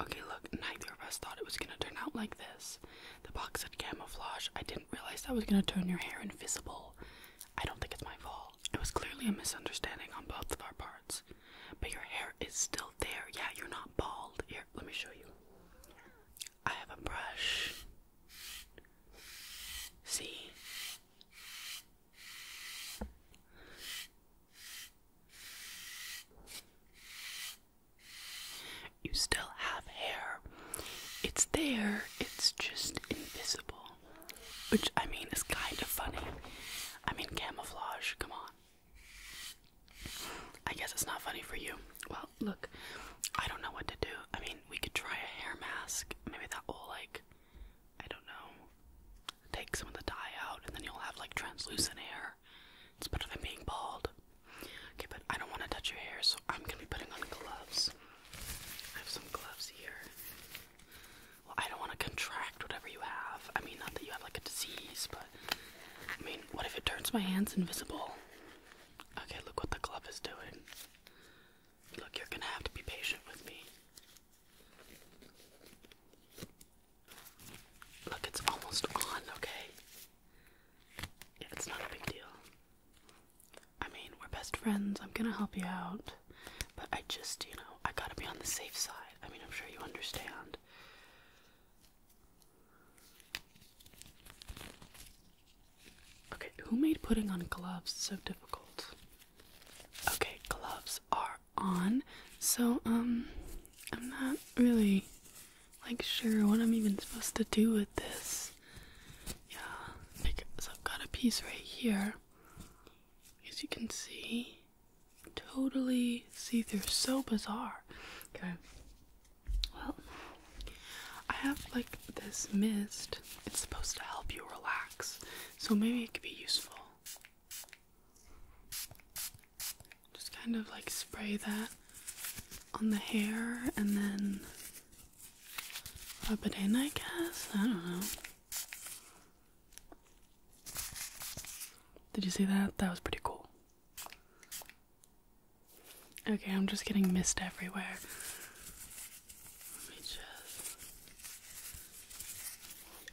Okay, look, neither of us thought it was gonna turn out like this. The box said camouflage. I didn't realize that was gonna turn your hair invisible. I don't think it's my fault. It was clearly a misunderstanding on both of our parts. But your hair is still there. Yeah, you're not bald. Here, let me show you. I have a brush. See? You still have hair. It's there, it's just invisible. Which, I mean, is kind of funny. I mean, camouflage, come on. I guess it's not funny for you. Well, look, I don't know what to do. I mean, we could try a hair mask. Maybe that will, like, I don't know, take some of the dye out, and then you'll have like translucent hair. It's better than being bald. Okay, but I don't want to touch your hair, so I'm gonna be putting on gloves. I have some gloves here. Well, I don't want to contract whatever you have. I mean, not that you have like a disease, but I mean, what if it turns my hands invisible? Okay, look what the glove is doing. Look, you're gonna have to be patient with me. Look, it's almost on, okay? it's not a big deal. I mean, we're best friends. I'm gonna help you out. But I just, you know, I gotta be on the safe side. I mean, I'm sure you understand. Okay, who made putting on gloves so difficult? Okay, gloves are on. So, um, I'm not really like sure what I'm even supposed to do with this. Yeah, like, so I've got a piece right here. As you can see, totally see through. So bizarre. Okay. Well, I have like this mist. It's supposed to help you relax. So maybe it could be useful. Just kind of like spray that on the hair and then pop it in, I guess. I don't know. Did you see that? That was pretty cool. Okay, I'm just getting mist everywhere. Let me just.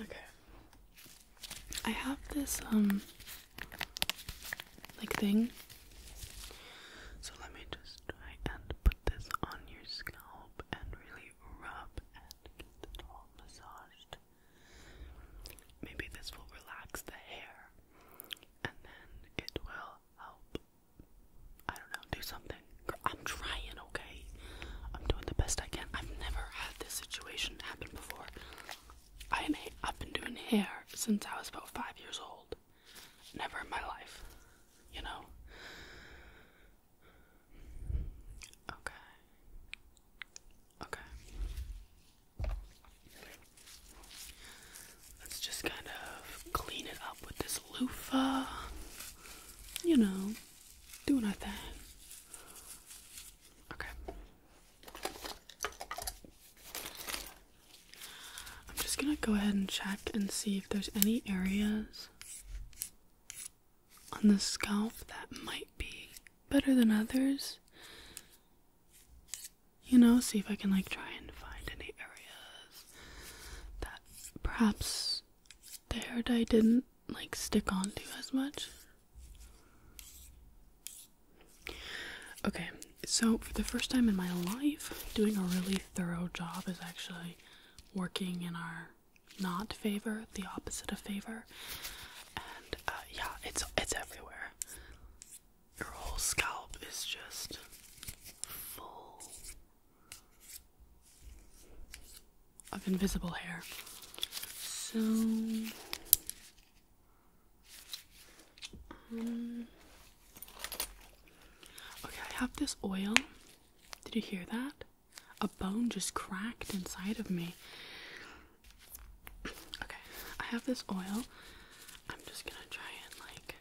Okay. I have this, um, like thing. So let me just try and put this on your scalp and really rub and get it all massaged. Maybe this will relax the hair and then it will help I don't know, do something. I'm trying, okay? I'm doing the best I can. I've never had this situation happen before. I am, I've been doing hair since I was about five years old. Never in my life, you know? Okay. Okay. Let's just kind of clean it up with this loofah. You know, do nothing. Okay. I'm just gonna go ahead and check and see if there's any areas on the scalp that might be better than others. You know, see if I can like try and find any areas that perhaps the hair dye didn't like stick onto as much. Okay, so for the first time in my life, doing a really thorough job is actually working in our not favor, the opposite of favor. And uh, yeah, it's it's everywhere. Your whole scalp is just full of invisible hair. So, um, okay, I have this oil. Did you hear that? A bone just cracked inside of me. Okay, I have this oil. I'm just gonna try and like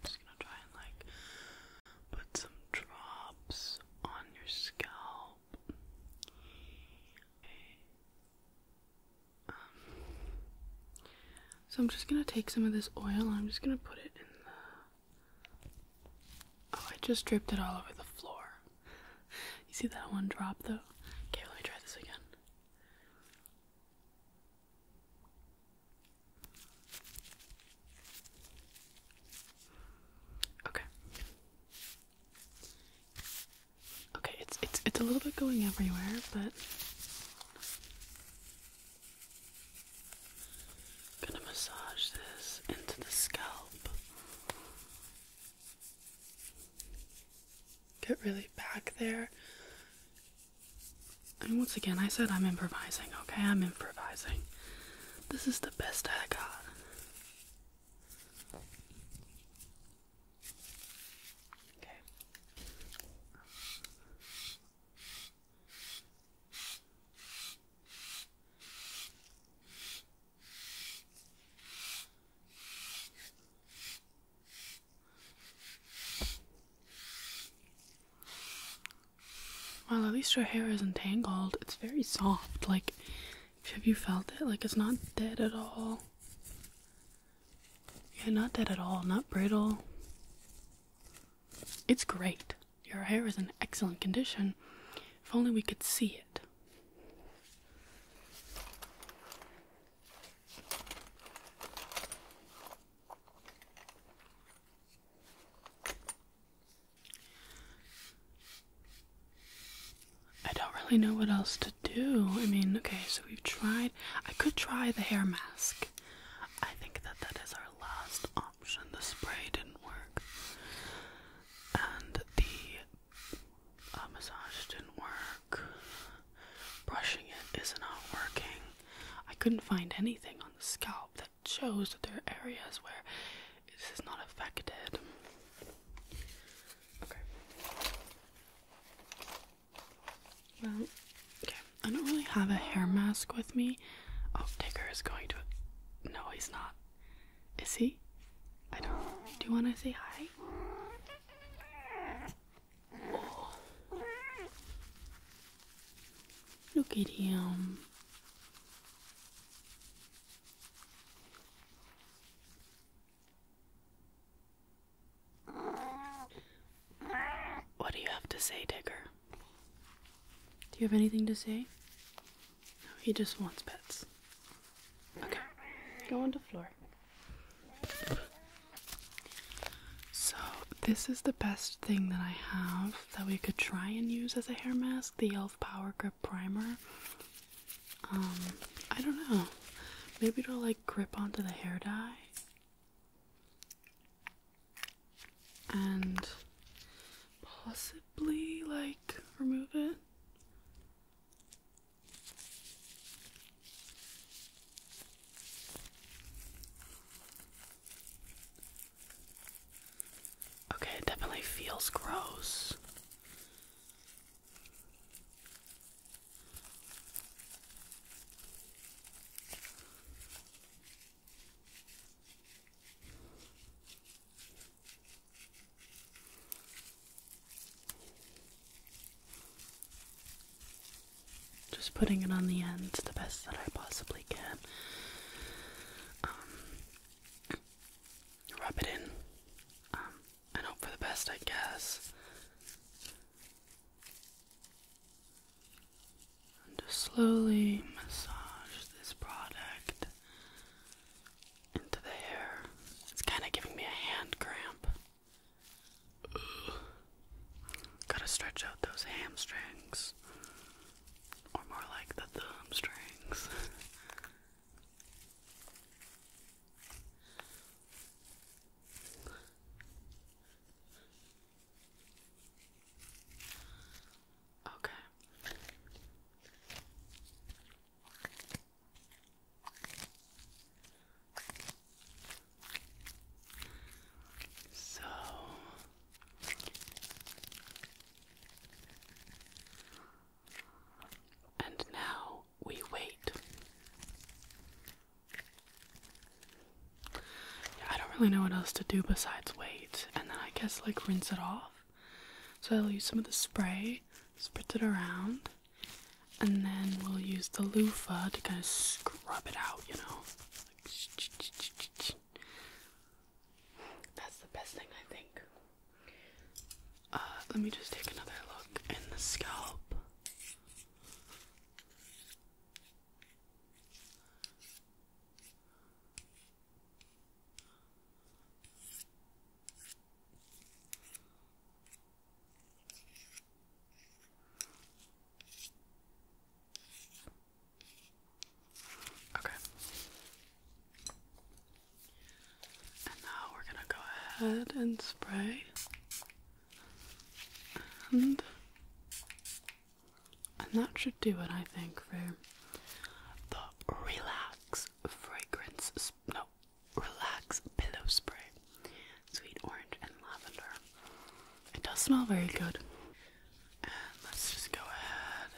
just gonna try and like put some drops on your scalp. Okay. Um, so I'm just gonna take some of this oil I'm just gonna put it in the. Oh, I just dripped it all over the floor. You see that one drop though? Okay, let me try this again. Okay. Okay, it's it's it's a little bit going everywhere, but gonna massage this into the scalp get really back there. And once again, I said I'm improvising, okay? I'm improvising. This is the best I got. Okay. Well, at least your hair isn't tangled. It's very soft. Like, have you felt it? Like, it's not dead at all. Yeah, not dead at all. Not brittle. It's great. Your hair is in excellent condition. If only we could see it. I don't really know what else to do. I mean, okay, so we've tried. I could try the hair mask. I think that that is our last option. The spray didn't work, and the uh, massage didn't work. Brushing it is not working. I couldn't find anything on the scalp that shows that there are areas where this is not affected. Okay. Well, okay. I don't really have a hair mask with me. Oh, Digger is going to. No, he's not. Is he? I don't. Do you want to say hi? Look at him. What do you have to say, Digger? Do you have anything to say? he just wants pets. Okay, go on the floor. So, this is the best thing that I have that we could try and use as a hair mask the e.l.f. Power Grip Primer. Um, I don't know. Maybe it'll like grip onto the hair dye. And possibly like remove it. Okay, it definitely feels gross. Just putting it on the ends the best that I possibly can. Um, rub it in. and um, hope for the best, I guess. just slowly massage this product into the hair. It's kind of giving me a hand cramp. Gotta stretch out those hamstrings. Or more like the thumb okay. So and now we wait. Yeah, I don't really know what else to do besides wait, and then I guess like rinse it off. So I'll use some of the spray, spritz it around and then we'll use the loofah to kind of scrub it out, you know. That's the best thing, I think. Uh, let me just take another look in the scalp. Okay. And now we're going to go ahead and spray and that should do it I think for the relax fragrance no Relax Pillow Spray. Sweet orange and lavender. It does smell very good. let's just go ahead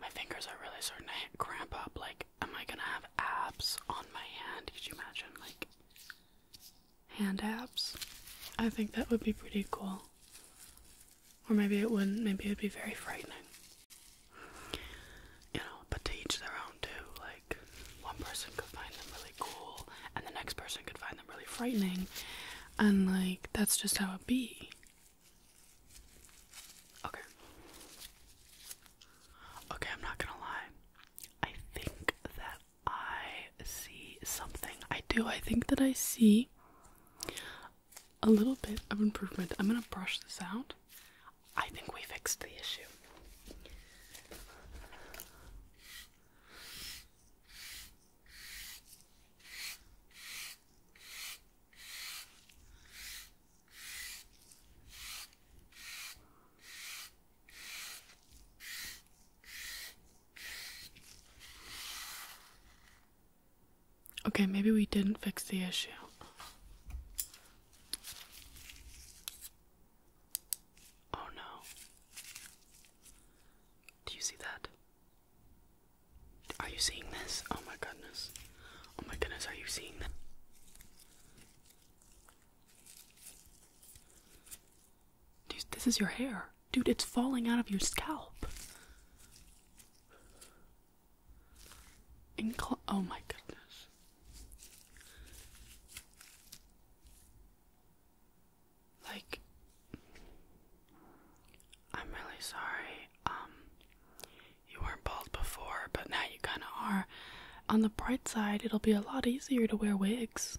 my fingers are really starting to cramp up. Like, am I gonna have abs on my hand? Could you imagine, like, hand abs? I think that would be pretty cool. Or maybe it wouldn't. Maybe it'd be very frightening. You know, but to each their own, too. Like, one person could find them really cool and the next person could find them really frightening and like that's just how it be. Okay. Okay, I'm not gonna lie. I think that I see something. I do. I think that I see a little bit of improvement. I'm gonna brush this out. I think we fixed the issue. Okay, maybe we didn't fix the issue. Oh no. Do you see that? Are you seeing this? Oh my goodness. Oh my goodness, are you seeing this? Dude, this is your hair. Dude, it's falling out of your scalp. Incl oh my goodness. Like, I'm really sorry. Um, you weren't bald before, but now you kinda are. On the bright side, it'll be a lot easier to wear wigs.